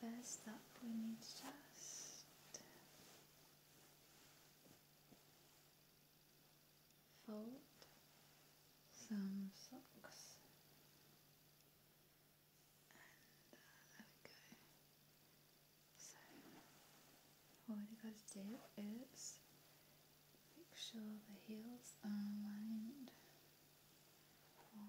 first up, we need to just fold some socks. And uh, there we go. So, what you gotta do is make sure the heels are aligned four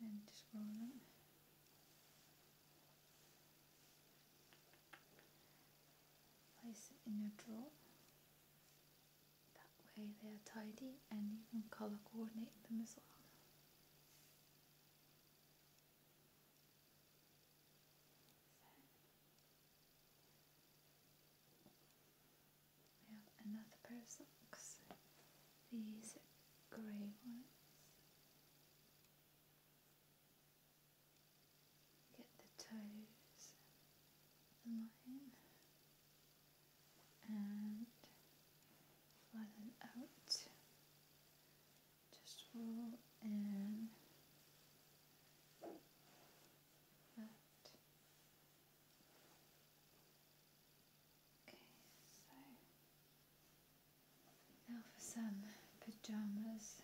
and just roll them place it in a drawer that way they are tidy and you can color coordinate them as well another pair of socks. These grey ones. Get the toes line and flatten out. Just roll in Okay, so now for some pajamas.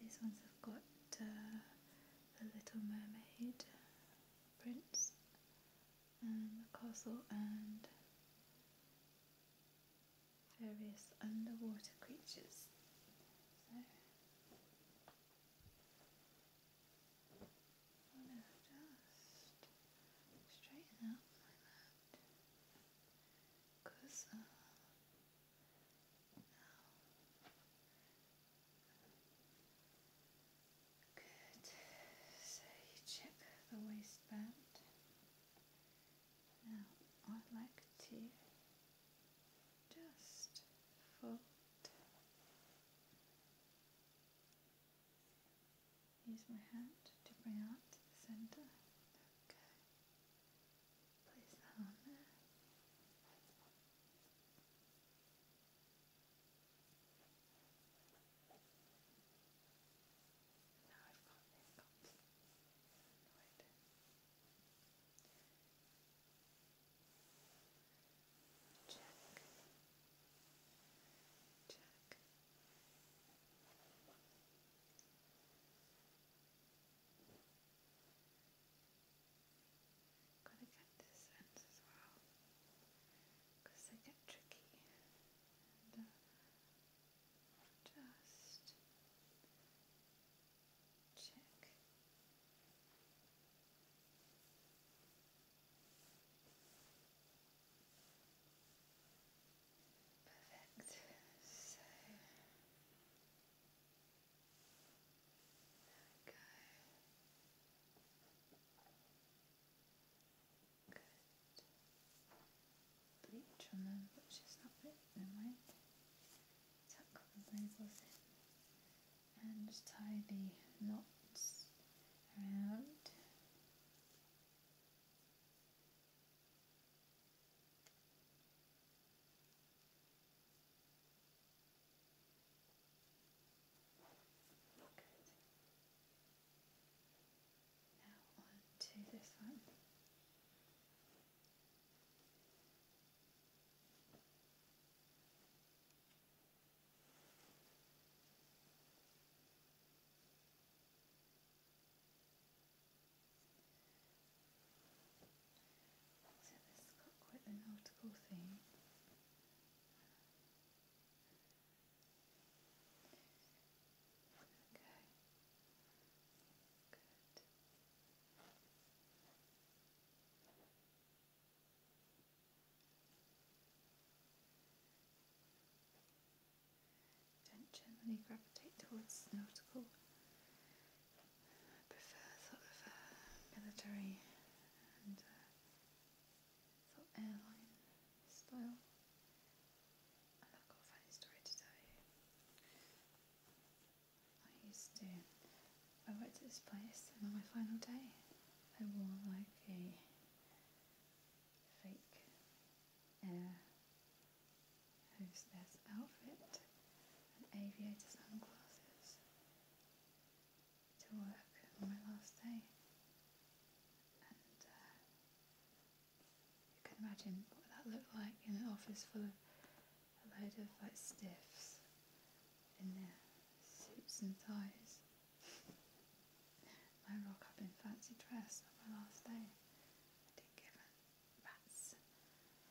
These ones have got the uh, Little Mermaid prints um, and the castle and various underwater creatures. So, just straighten up like that uh, Good. So you check the waistband. Now i like to just fold use my hand to bring out the center. Okay. Place that on now i Check. Check. Gotta get this end as well, they get tricky uh, just check. Perfect. So there we go. Good. Bleach on them, which is not bit, never mind. Tuck the labels in and tie the knots around. Good. Now on to this one. So this has got quite an article theme. Okay. Good. Don't generally gravitate towards nautical. prefer sort of uh, military and uh, sort of airline style. I've got a funny story to tell you. I used to, I worked at this place and on my final day I wore like a fake air hostess outfit and aviator sunglasses to work on my last day. Uh, you can imagine what that looked like in an office full of a load of like stiffs in their suits and ties. I rock up in fancy dress on my last day. I didn't give a rats.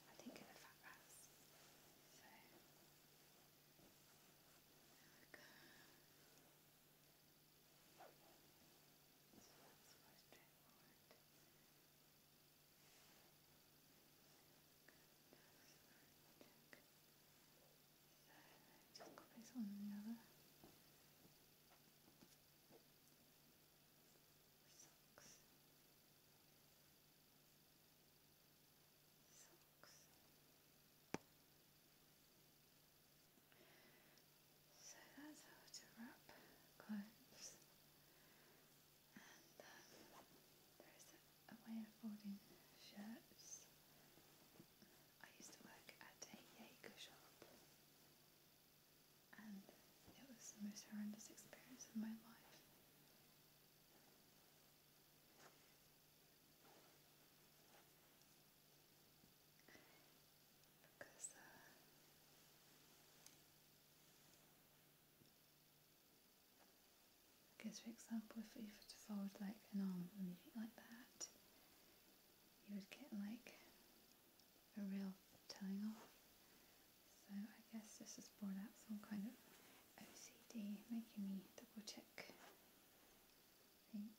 I didn't give a fat rats. So that's the most straightforward. Check. So just copies one another. Socks. Socks. Socks. So that's how to wrap clothes. And um, there is a way of folding shirts. I used to work at a Jaeger shop and it was the most horrendous experience of my life because uh, because for example if you were to fold like an arm like that you would get like a real telling off so I guess this has brought out some kind of OCD making me double check things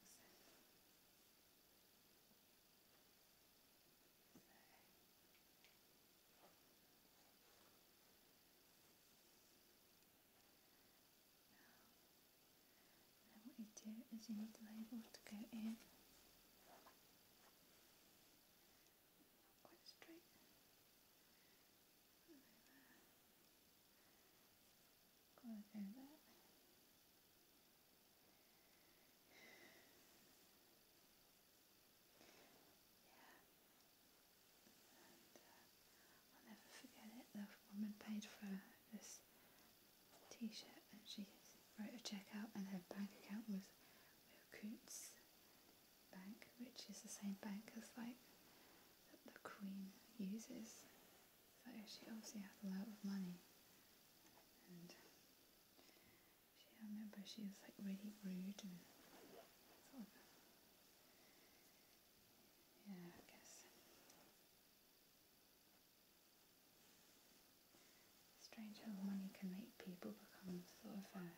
now, what you do is you need the label to go in. Not quite straight. Go there. I'll never forget it. The woman paid for this T-shirt, and she wrote a check out, and her bank account was Coots Bank, which is the same bank as like that the Queen uses. So she obviously had a lot of money, she, I remember she was like really rude and sort of, yeah, I guess. Strange how money can make people become sort of, uh,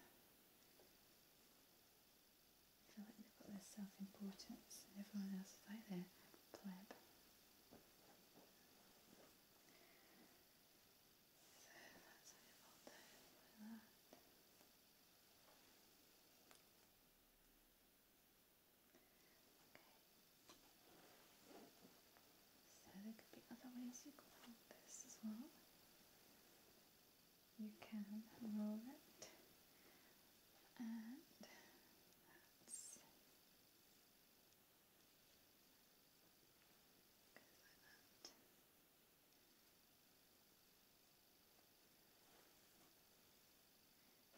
feel like they've got their self-importance and everyone else is like their pleb. So you there could be other ways you could hold this as well. You can roll it and that's Goes like that.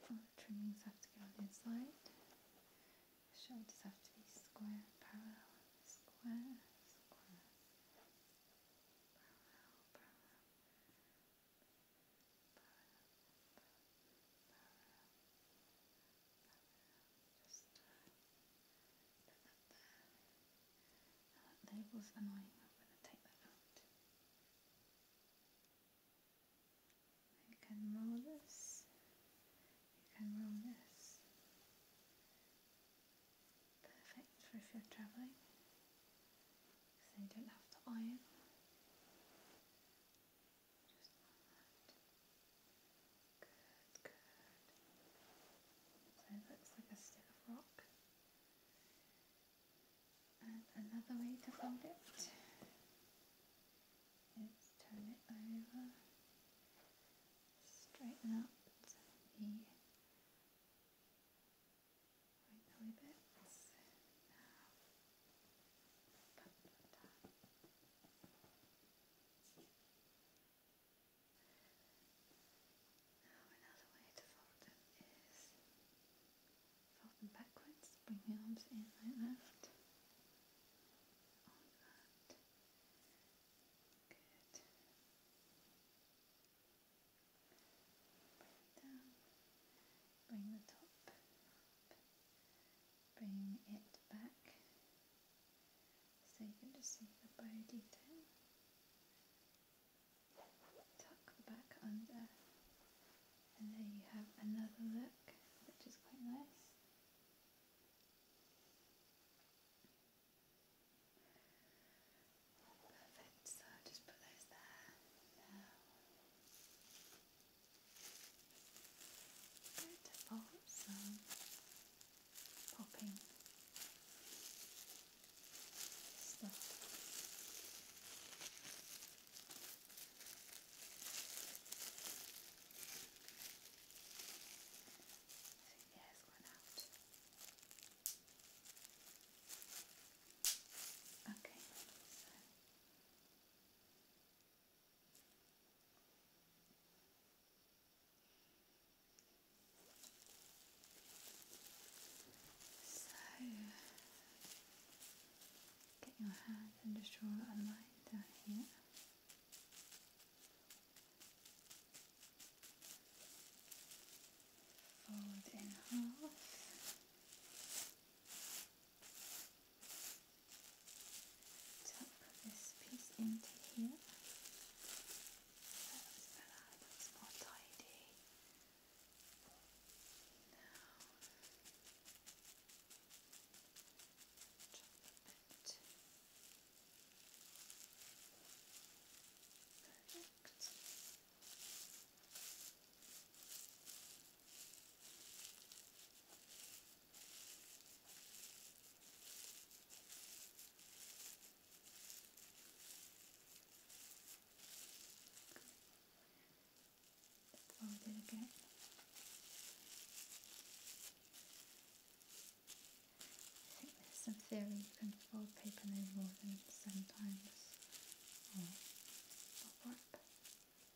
All the trimmings have to go on the inside. shoulders have to be square, parallel, square, square, parallel, parallel, parallel, parallel, just label's annoying, I'm going to take that out. You can roll this. You can roll this. Perfect for if you're travelling. Because you don't have to iron. So it looks like a stick rock. And another way to fold it is turn it over, straighten up the right belly bits. Now, put that now another way to fold them is fold them backwards, bring the arms in like On that. Good. Bring it down. Bring the top up. Bring it back. So you can just see the bow detail. Tuck the back under, and there you have another look, which is quite nice. Perfect, so just put those there Beautiful, some popping stuff. Yeah, it's out. Okay, So, get your hand and just draw a line down here. Fold in half. tuck this piece into here. That's better, that's more tidy. Now, chop a bit. Perfect. Now Fold it again. I think there's some theory you can fold paper no more than seven times or, or warp. So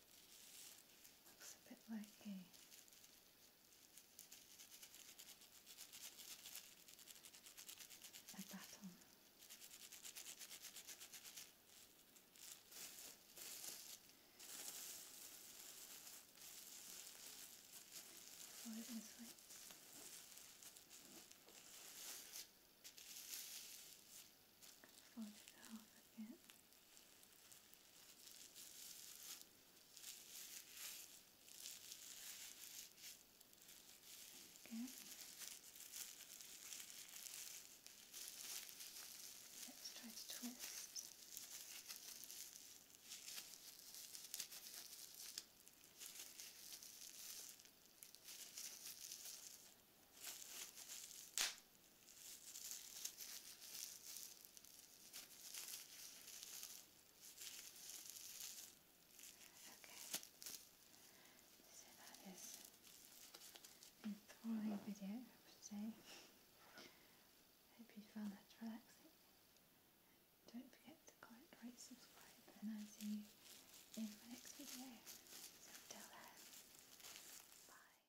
Looks a bit like a a baton. Follow this way fold it over again. Again. Let's try to twist. Okay, so that is enthralling video, I would say. Hope you found that relaxing. Don't forget to click, rate, subscribe, and I'll see you in my next video. until then, bye.